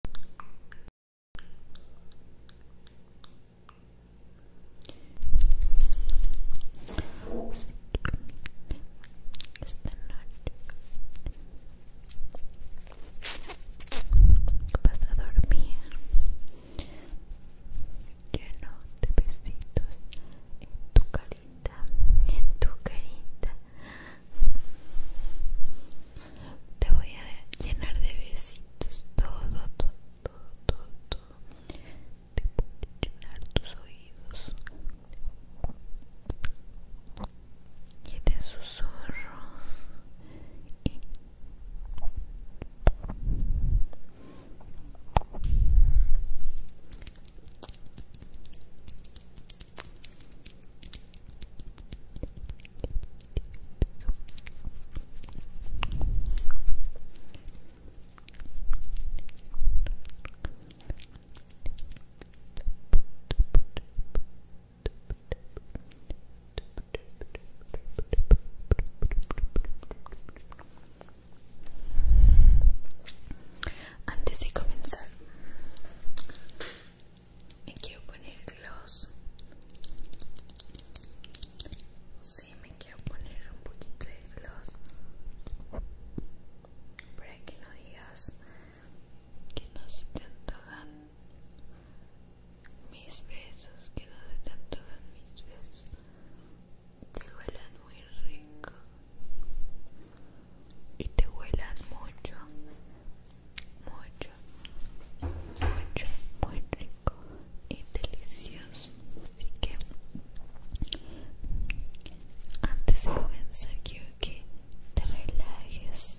Así esta noche vas a dormir lleno de besitos en tu carita, en tu carita. Te voy a llenar de besitos todo, todo, todo, todo, Te voy a llenar tus oídos. Y te susurro. Y antes de comenzar, me quiero poner gloss sí me quiero poner un poquito de gloss para que no digas que no se te antojan mis besos que no se te antojan mis besos te huelan muy rico y te huelan mucho mucho mucho, muy rico y delicioso. Así que antes de comenzar que te relajes.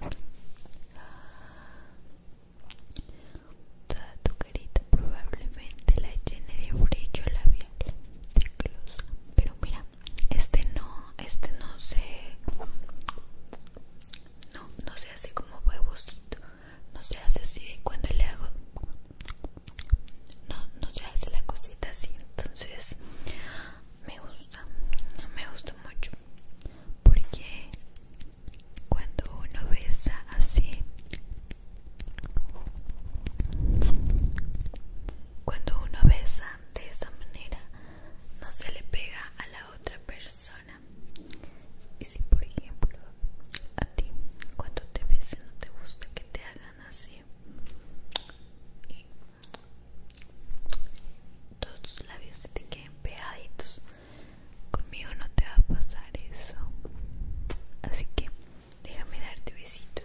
Toda tu carita probablemente la llene de abrecho labial de Pero mira, este no, este no se... No, no se hace como huevosito no se hace así cuando le hago no, no se hace la cosita así entonces me gusta No me gusta mucho porque cuando uno besa así cuando uno besa de esa manera no se le pega a la otra persona y si por ejemplo a ti cuando te ves no te gusta que te hagan así y todos tus labios se te queden pegaditos, conmigo no te va a pasar eso. Así que déjame darte besitos.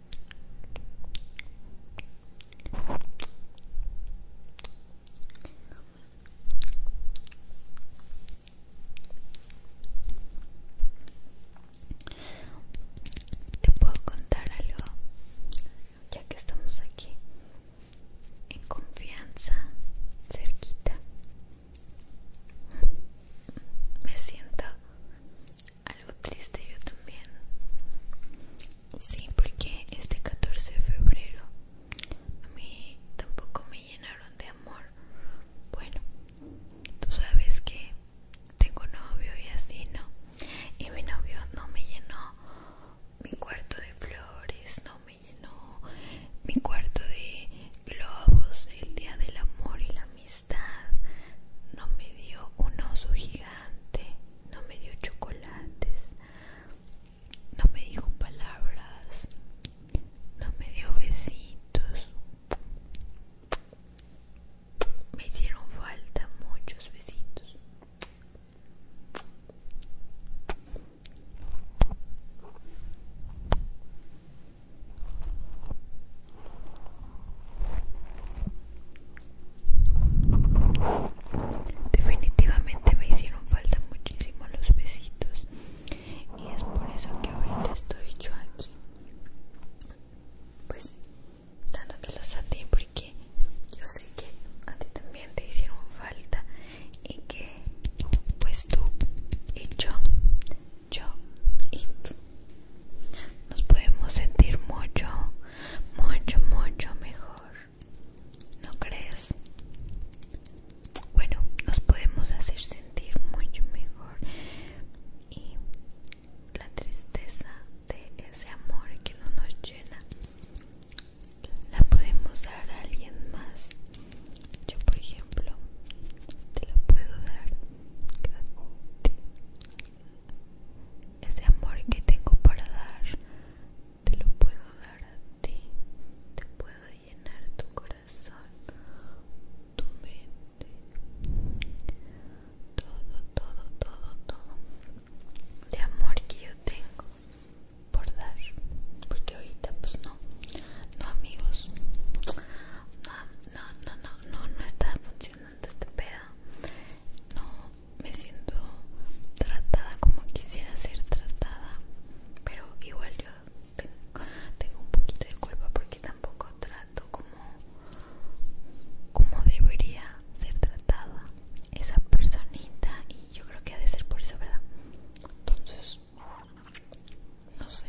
Te puedo contar algo, ya que estamos aquí en confianza, cerquita. Me siento algo triste yo también sí porque este 14 de febrero a mí tampoco me llenaron de amor bueno tú sabes que tengo novio y así no y mi novio no me llenó mi cuarto de flores no me llenó mi cuarto de globos el día del amor y la amistad, no me dio un oso gigante, no me dio chocolates, no me dijo palabras, no me dio besitos. Me hicieron falta muchos besitos. Definitivamente me hicieron falta muchísimo los besitos y es por eso que ahorita estoy yo aquí pues dándotelos a ti porque yo sé que a ti también te hicieron falta y que pues tú y yo yo y Nos podemos sentir mucho, mucho, mucho mejor. ¿No crees? Bueno, nos podemos hacer sentir mucho mejor. Y la tristeza de ese amor que no nos llena, la podemos dar a alguien más. Yo, por ejemplo, te la puedo dar ese amor que tengo para dar, te lo puedo dar a ti. Te puedo llenar tu corazón, tu mente. Todo, todo, todo, todo. De amor que yo tengo por dar. Porque ahorita pues no. No amigos. No, no, no, no, no, no está funcionando este no me siento tratada como quisiera ser tratada pero igual yo tengo, tengo un poquito de culpa porque tampoco trato como como debería ser tratada esa personita y yo creo que ha de ser por eso verdad entonces no sé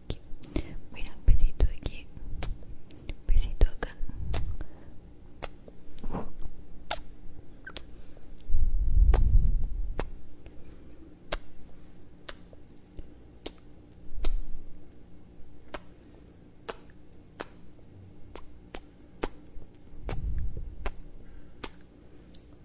un un besito aquí, Un besito acá.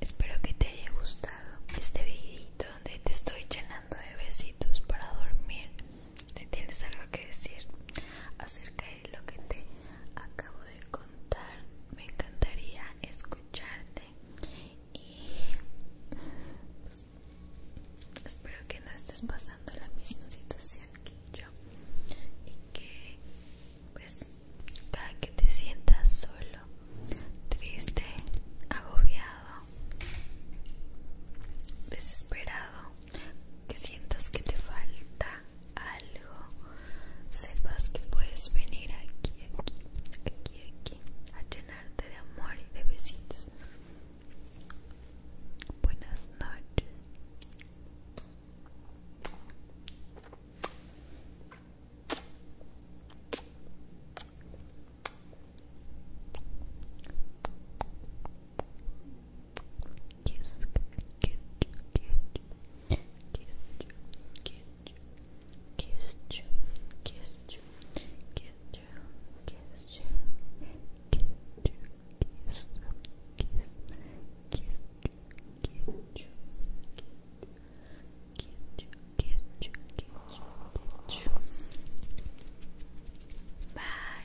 Espero que te haya gustado este videito donde te estoy llenando de besitos para dormir si tienes algo que decir acerca de lo que te acabo de contar, me encantaría escucharte y pues, espero que no estés pasando la misma situación que yo y que pues cada que te sientas solo, triste, agobiado desesperado, que sientas que te falta algo, sepas que puedes venir aquí, aquí, aquí, aquí, a llenarte de amor y de besitos. Buenas noches. Kiss, kiss, kiss, kiss, kiss, kiss, kiss, kiss, kiss, kiss, kiss, kiss, Bye.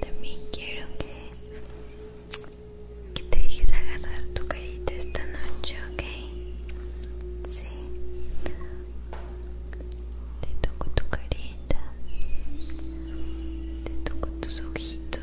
También quiero que, que te dejes agarrar tu carita esta noche, ¿ok? Sí. Te toco tu carita. Te toco tus ojitos.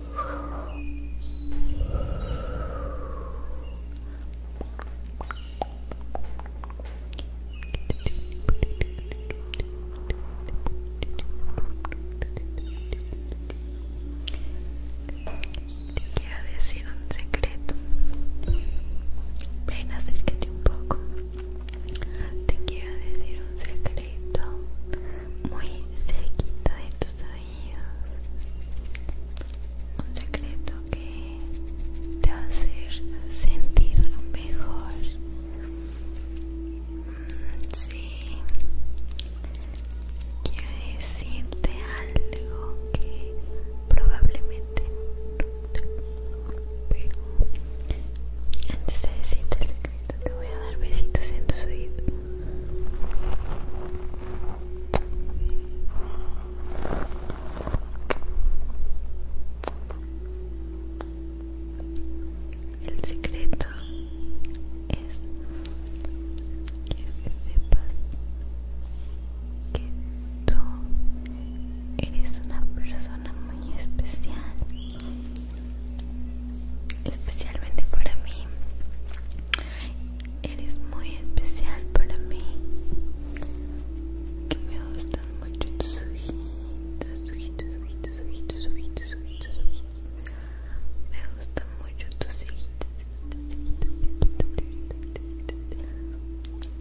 Te quiero decir un secreto. Ven, acércate un poco. Te quiero decir un secreto muy cerquita de tu oídos un secreto que te va a hacer sentir mejor mm, sí quiero decirte algo que probablemente no te pero antes de decirte el secreto te voy a dar besitos en tus oídos el secreto es que sepas que tú eres una persona muy especial, especialmente para mí eres muy especial para mí. me gustan mucho tus ojitos, Me gustan mucho tus ojitos.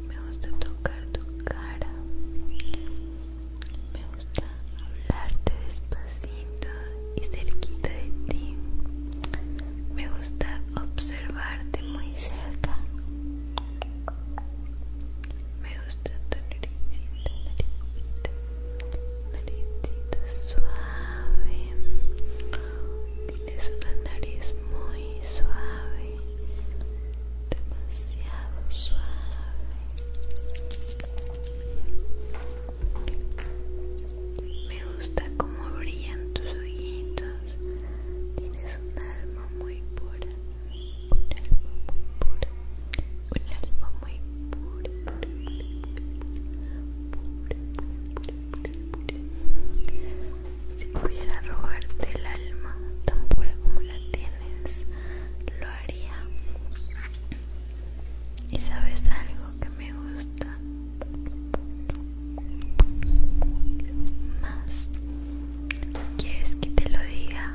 Me gusta tocar tu cara. Me gusta hablarte despacio y cerquita de ti. Me gusta observarte muy cerca. Me gusta tu naricita, naricita, naricita suave. Tienes una nariz muy suave, demasiado suave. Me gusta como brillan tus ojitos. Tienes un alma muy pura. Un alma muy pura. Un alma muy pura. pura. Si pudiera robarte el alma tan pura como la tienes, lo haría. Y sabes algo que me gusta más quieres que te lo diga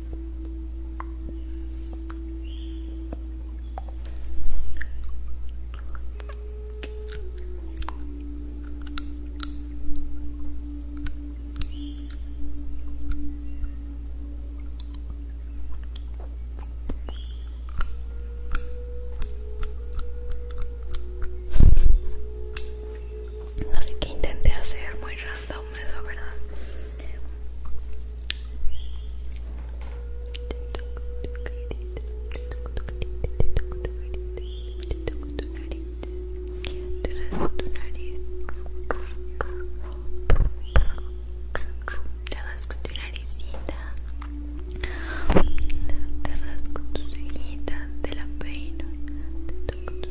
No sé qué intenté hacer muy random eso, ¿verdad? Te rasco tu nariz. Te rasco tu narizita Te rasco tu cejita Te la peino. Te toco tu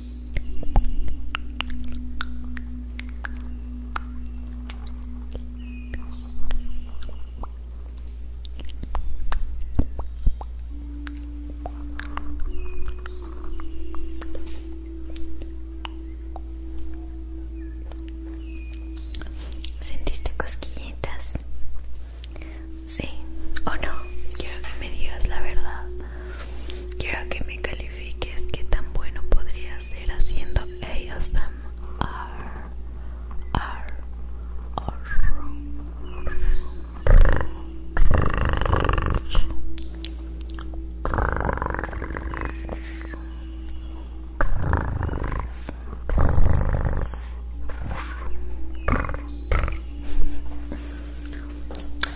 ¿Sentiste cosquillitas? Sí o no, quiero que me digas la verdad. Quiero que me califiques qué tan bueno podría ser haciendo ellos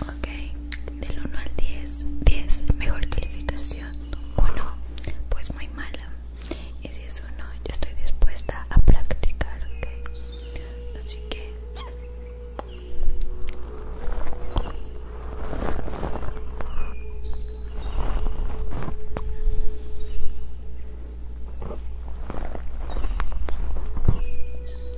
Ok, del 1 al 10 10, mejor calificación 1, pues muy mala Y si es 1, yo estoy dispuesta a practicar, Así que tengas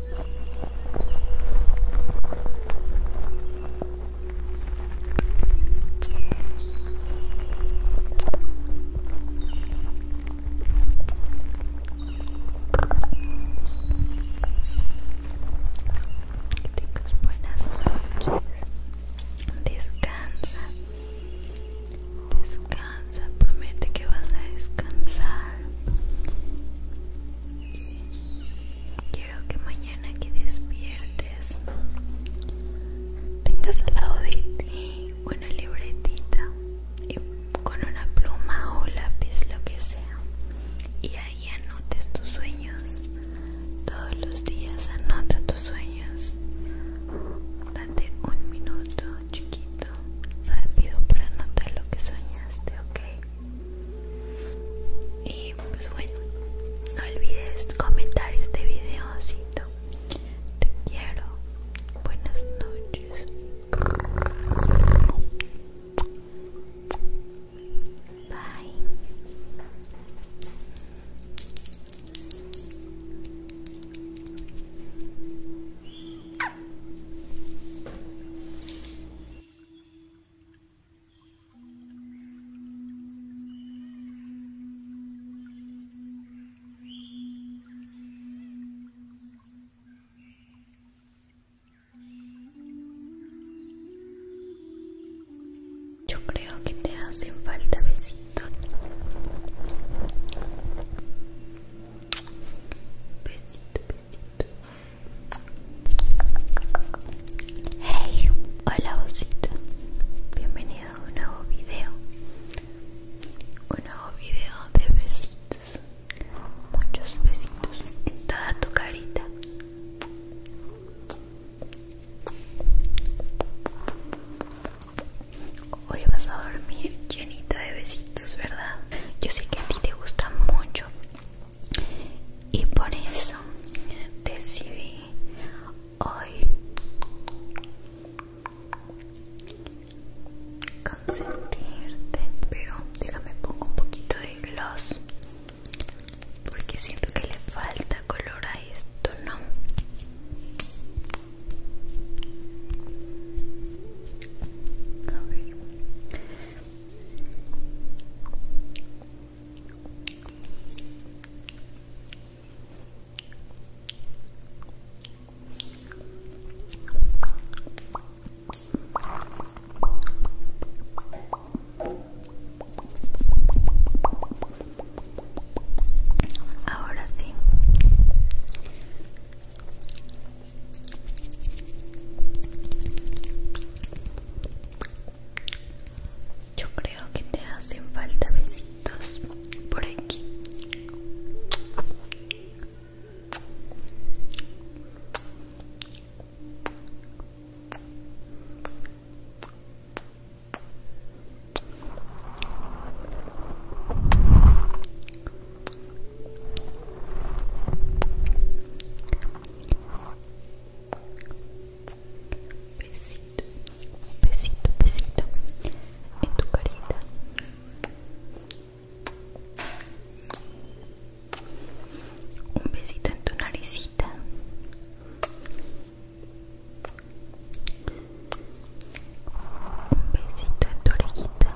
buenas noches. Descansa. Descansa, promete que vas a descansar. Y que mañana que despiertes tengas al lado de ti una libretita con una pluma o lápiz, lo que sea, y ahí anotes tus sueños. Todos los días anota tus sueños. Date un minuto chiquito, rápido para anotar lo que soñaste, ¿ok? Y pues bueno, no olvides comentar este videocito. Te quiero. Buenas noches. Bye. Yo creo que te hacen falta Besito, besito, Hey, hola osito, bienvenido a un nuevo video, un nuevo video de besitos, muchos besitos en toda tu carita. Hoy vas a dormir llenita de besitos, ¿verdad? Yo sé que a ti te gusta mucho y por eso decidí hoy consentirte pero déjame pongo un poquito de gloss porque siento que le falta color a esto no a Ahora sí. Yo creo que te hacen falta besitos por aquí. Un besito, un besito, besito en tu carita. Un besito en tu naricita. Un besito en tu orejita.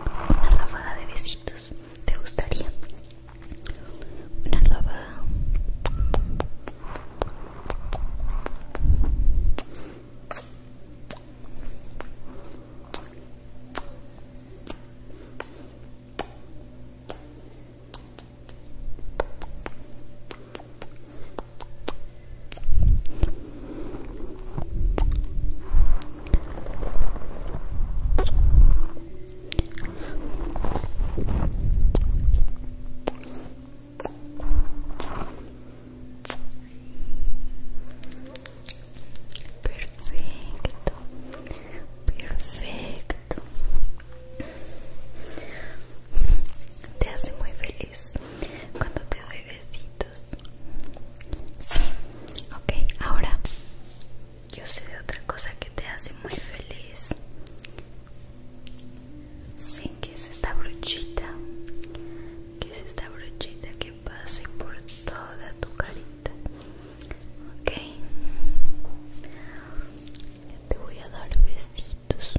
Una ráfaga de besitos, ¿te gustaría? Una ráfaga. Perfecto, perfecto. Te hace muy feliz cuando te doy besitos sí ok ahora yo sé de otra cosa que te hace muy feliz sí que es esta brochita que es esta brochita que pase por toda tu carita ok te voy a dar besitos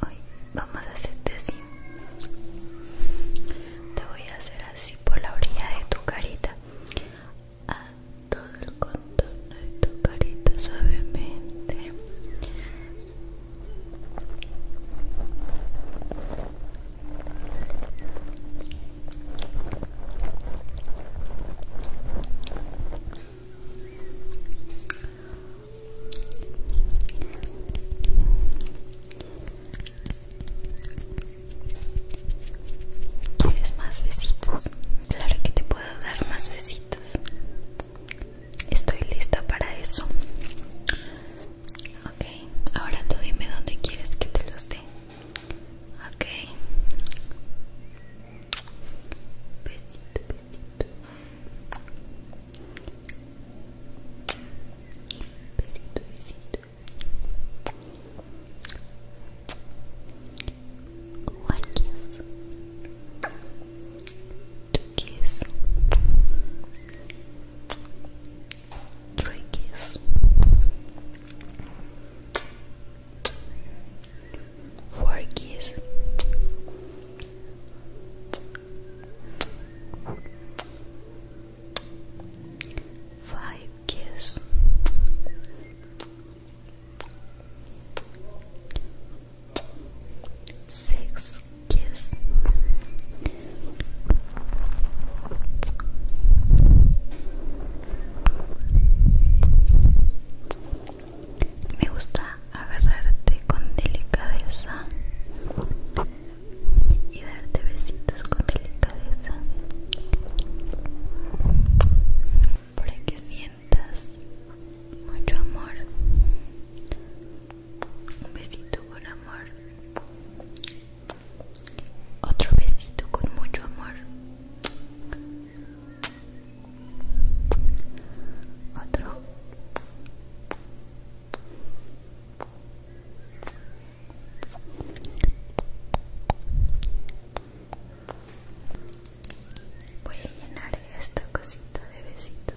Hoy vamos a hacerte así. Te voy a hacer así por la orilla de tu carita. A todo el contorno de tu carita suavemente. ¿Quieres más besitos? Claro que te puedo dar más besitos. Estoy lista para eso. Ok, ahora tú dime dónde quieres que te los dé. Ok. Besito, besito. Besito, besito. One kiss. Two kiss. three keys four keys five keys six kiss. Me gusta agarrarte con delicadeza y darte besitos con delicadeza para que sientas mucho amor. Un besito con amor. Otro besito con mucho amor. Otro. Voy a llenar esta cosita de besitos.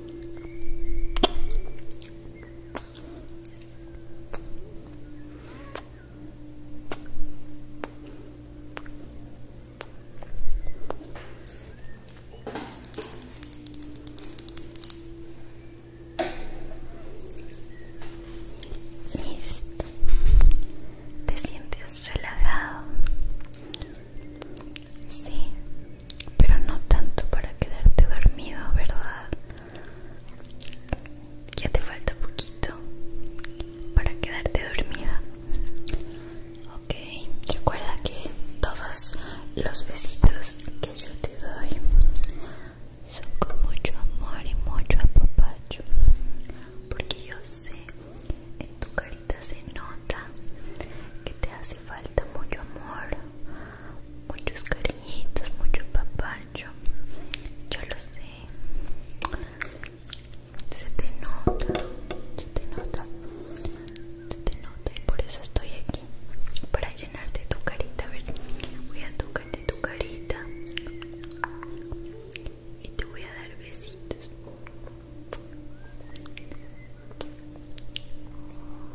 Listo. ¿Te sientes relajado? Sí pero no tanto para quedarte dormido, ¿verdad? Ya te falta poquito para quedarte dormida. Ok, recuerda que todos los besitos que yo te doy son con mucho amor y mucho apapacho, porque yo sé en tu carita se nota que te hace falta mucho amor, muchos cariñitos, mucho papacho. Yo lo sé. Se te nota, se te nota, se te nota y por eso estoy aquí para llenarte tu carita. A ver, voy a tocarte tu carita y te voy a dar besitos.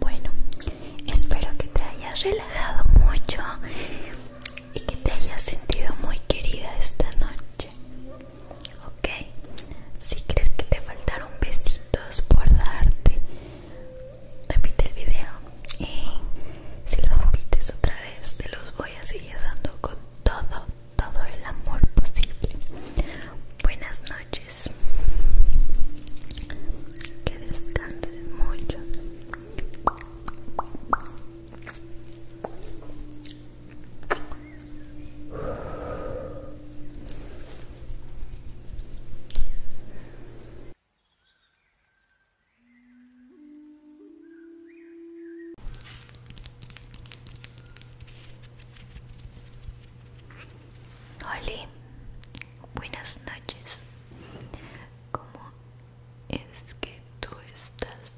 Bueno, espero que te hayas relajado mucho y que te hayas sentido muy querida esta noche. Ok, si crees que te faltaron besitos por darte, repite el video y si lo repites otra vez, te los voy a seguir dando con todo, todo el amor posible. Buenas noches, que descanses mucho. Hola, buenas noches. Como es que tú estás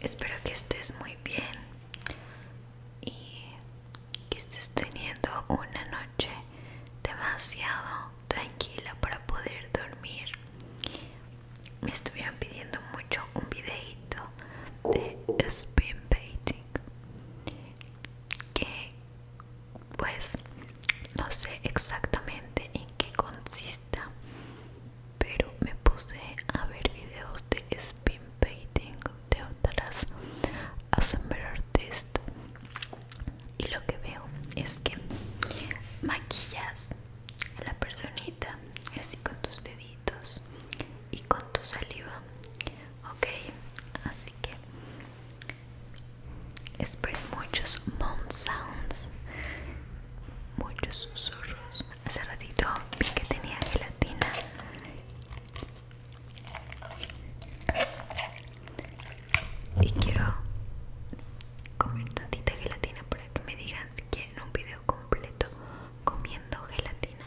espero que estés muy bien y que estés teniendo una noche demasiado tranquila para poder dormir me estuvieron pidiendo mucho un videito de spin painting que pues no sé exactamente en qué consista pero me puse a ver videos de spin painting de otras assembler artists y lo que veo es que maquillas a la personita así con tus deditos y con tu saliva ok así que Esperé muchos mount sounds, muchos susurros. Hace ratito vi que tenía gelatina. Y quiero comer tantita gelatina para que me digan si quieren un video completo comiendo gelatina.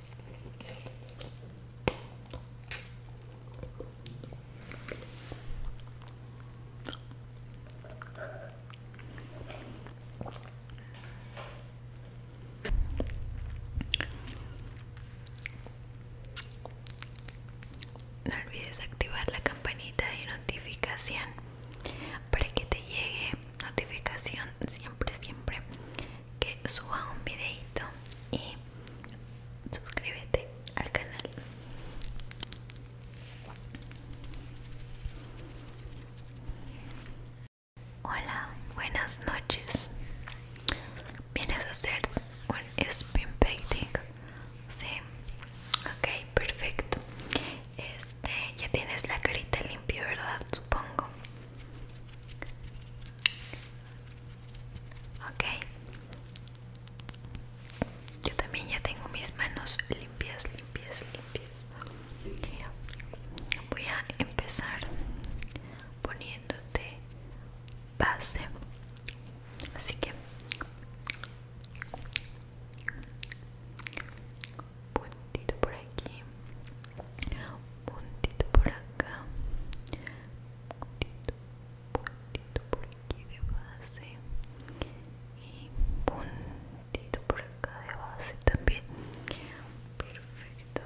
No olvides activar la campanita de notificación para que te llegue notificación siempre, siempre que suba un videito y suscríbete al canal Hola, buenas noches ¿Vienes a hacer un spin painting? Sí, ok, perfecto Este, ya tienes la carita limpia, ¿verdad? Supongo ok yo también ya tengo mis manos limpias limpias limpias voy a empezar poniéndote base así que puntito por aquí puntito por acá puntito, puntito por aquí de base y puntito por acá de base también perfecto Perfecto.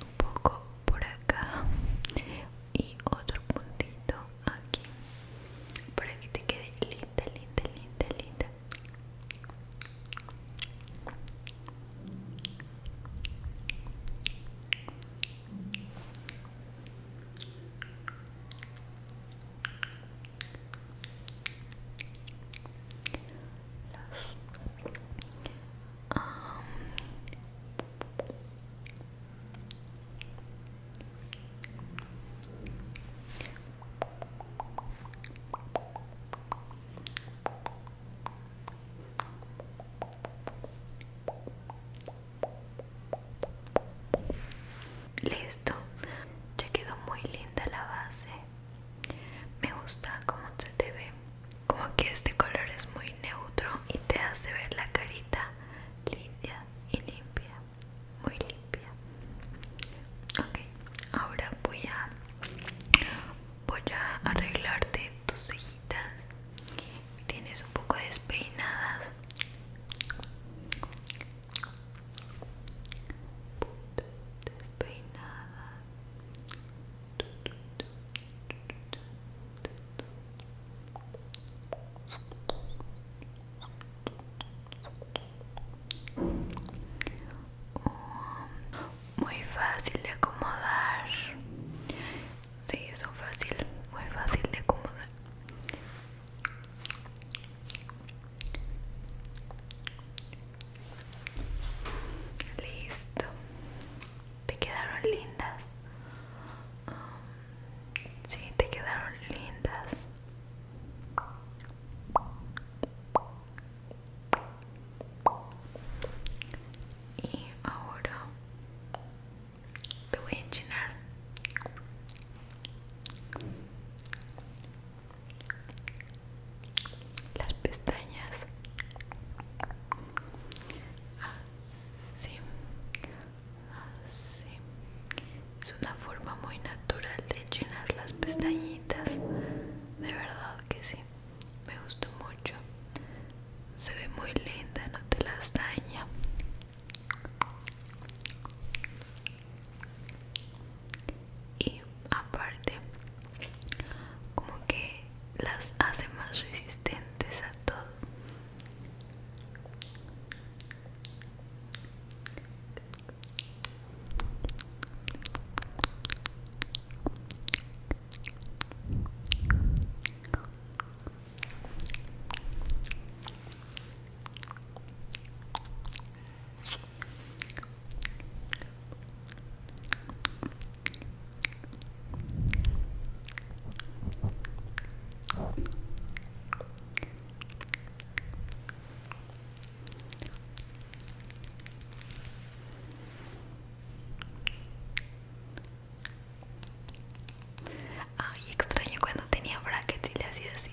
un poco por acá y otro puntito aquí para que te quede linda, linda, linda, linda. Listo, ya quedó muy linda la base. Me gusta cómo se te ve. Como que este color es muy neutro y te hace ver la carita linda y limpia. Muy limpia. Ok, ahora voy a voy a arreglarte tus cejitas. Tienes un poco despeinadas. Despeinadas Um, muy fácil de acomodar Sí, son fácil, muy fácil de acomodar Listo. Te quedaron lindas. Um, sí, te quedaron lindas. Y ahora te voy a las pestañas así así es una forma muy natural de llenar las pestañitas de verdad que sí me gustó mucho se ve muy linda no te las daña y aparte como que las hace más resistentes a todo Ay, extraño cuando tenía brackets y le hacía así.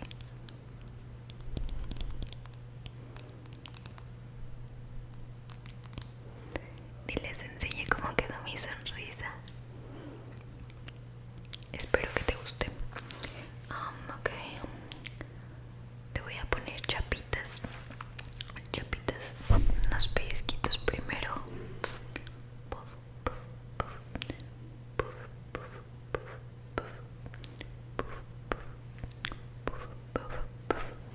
Y les enseñé cómo quedó mi sonrisa. Espero que te guste. ok. Te voy a poner chapitas. Chapitas. Unos piesquitos primero. puff, puff. Puff,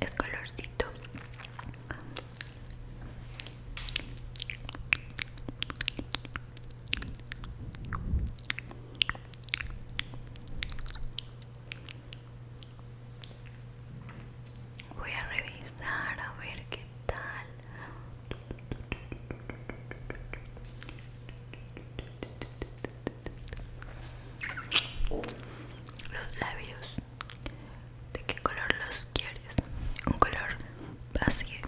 es colorcito Voy a revisar a ver qué tal. Los labios. ¿De qué color los quieres? Un color así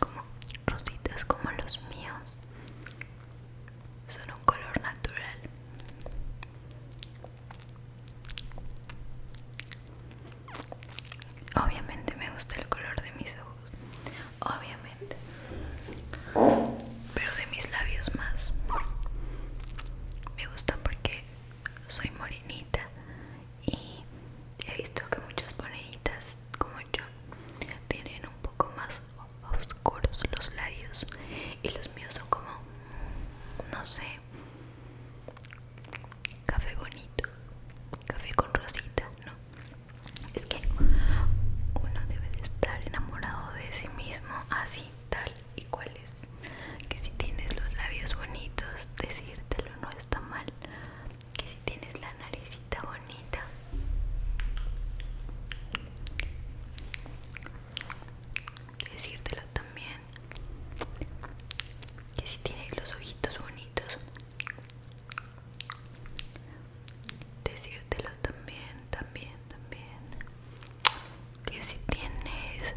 como rositas como los míos. Son un color natural. Obviamente me gusta el color de mis ojos. Obviamente. Pero de mis labios más. Me gusta porque soy morenita y he visto que muchas morenitas como yo tienen un poco más oscuros los labios y los míos son como no sé Café bonito, café con rosita, ¿no? Es que uno debe de estar enamorado de sí mismo así, tal y cual es. Que si tienes los labios bonitos, decírtelo no está mal. Que si tienes la naricita bonita. Decírtelo también que si tienes los ojitos bonitos decírtelo también también también que si tienes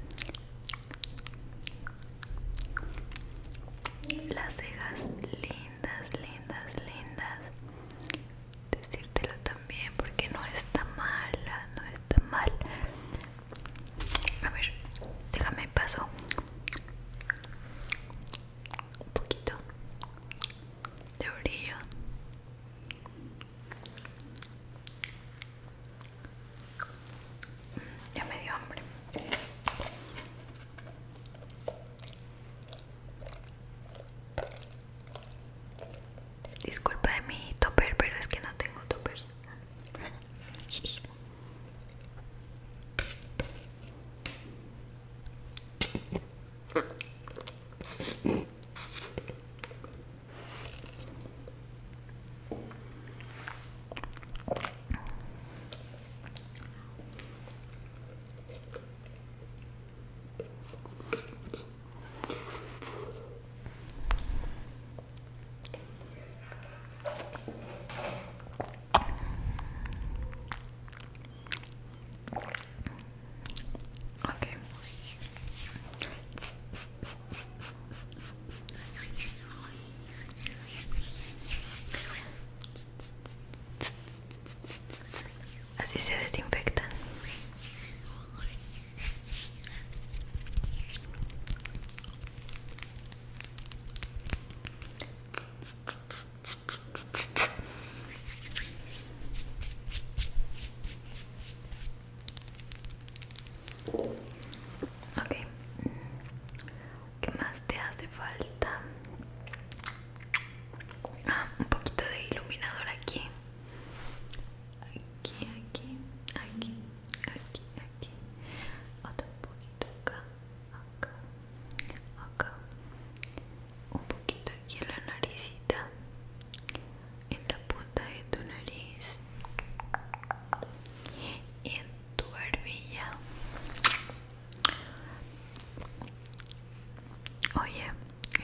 las cejas lindas lindas lindas decírtelo también porque no está mal no está mal a ver, déjame paso un poquito de orilla. Mm, ya me dio hambre. Disculpa de mi topper, pero es que no tengo toppers. Okay. Así se desinfectan. Ok, ¿qué más te hace falta? Ah, un poquito de iluminador aquí aquí, aquí, aquí, aquí, aquí, otro poquito acá, acá, acá, un poquito aquí en la naricita, en la punta de tu nariz y en tu barbilla. Oye,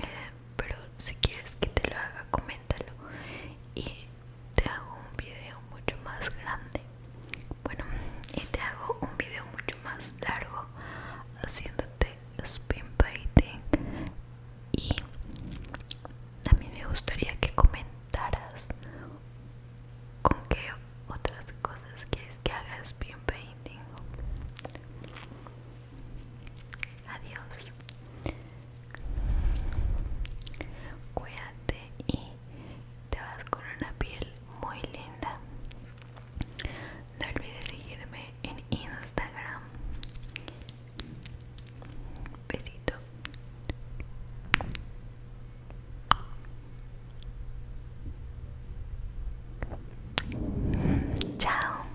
eh, pero si quieres que te lo haga, coméntalo. Y te hago un video mucho más grande bueno y te hago un video mucho más largo haciéndote spin painting y también me gustaría que comentaras con qué otras cosas quieres que haga spin painting adiós Cuídate y te vas con una piel muy linda. No olvides seguirme en Instagram. Besito. Chao.